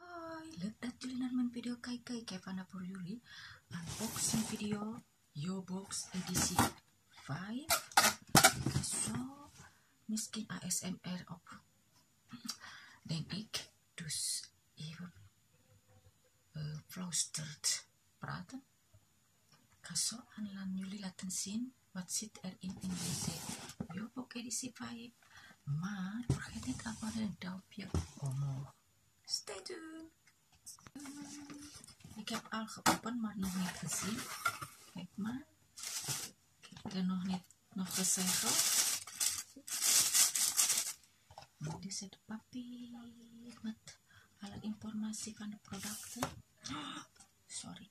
Hai, look at Julian video Kai Kai Kevana Puriuli unboxing video Yo Box edisi 5 so miskin ASMR op dan ik dus even eh, uh, fluisterd kaso aan jullie laten zien wat zit er in in deze Yo Box edisi 5 Maar ik apa niet dat wat Stay tuned! Ik heb al geopend, maar nog niet gezien. Kijk maar. Ik heb er met alat informasi kan produknya. Sorry.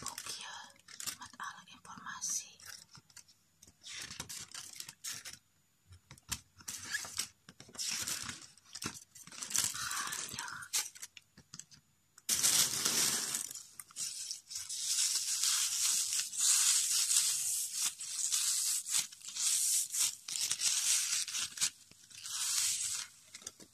Bukia mat alat informasi. Hanya.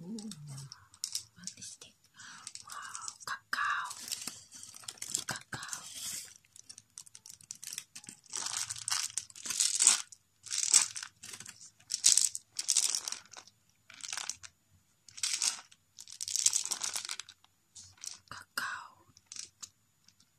おーまぶしてわーカカオカカオカカオ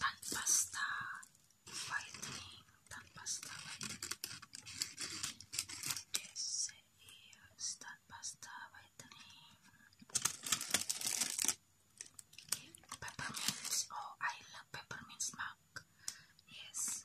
tan pasta whitening, tan pasta whitening. This is tan pasta whitening. Peppermints. Oh, I love peppermints, Mark. Yes.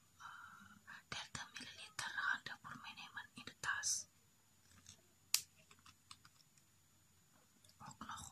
30 ml Honda Purmeneman in the task. Ook nog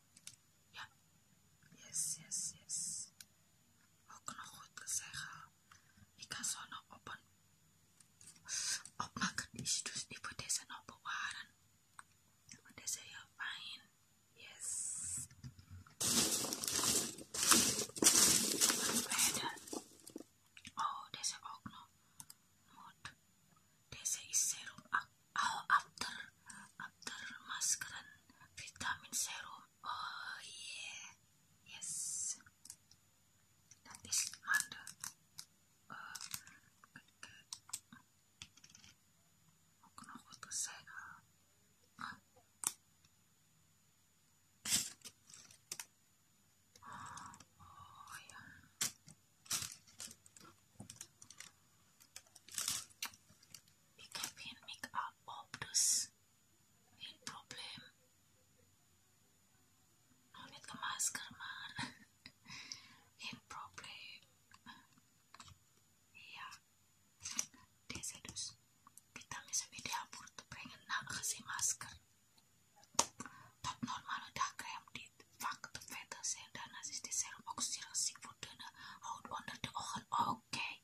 Ja. Yes, yes, yes. Ook nog goed zeggen. Ik kan zo nog op een opmaken. Dus ik moet deze nog bewaren. Want deze is heel fijn. Yes. Verder. Oh, deze ook nog. Moet. Deze is serum oh after after maskeran vitamin serum oh iya yes dan di under uh, ook nog wat te Oh, oh, yeah. Ik heb make-up op, dus problem. probleem. Nog ke masker, man, geen problem. Ja, iya. deze Kita bisa dihapur te brengen na kasih masker. Tot normal udah krem dit. Faktum fetusnya dan nasistik serum oksigen seafood dana out under the oven. Oh, okay,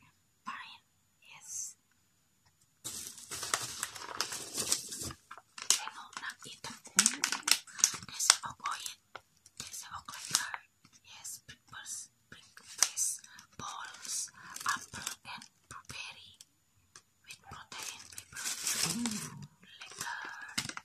fine. Yes. I know not eat the food. There's a oil. Yes, peppers, balls, apple, and blueberry with protein paper. Mm. Liquor.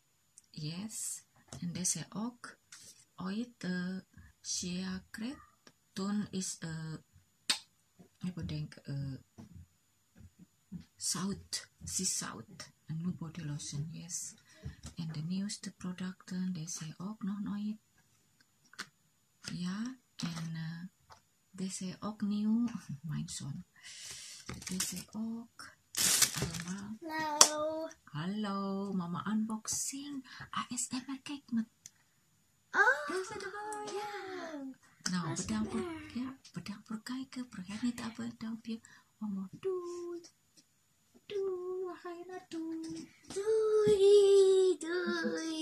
Yes, and they say oak. Uh, uh, Ooit de siakret. Toen is a. I apa denk a south, sea south, a new body lotion. Yes, and the news the product they say ok. no no it. Yeah, uh, and they say ok. new. Mine son. They say ok. Halo. Halo, Mama unboxing ASMR cake nut. Oh. That's adorable. Ya. Yeah. Now, bedang per, ya, bedang perkai ke perkai ni tak apa bedang pia. Mama du. Du, hai na du. Dui, dui.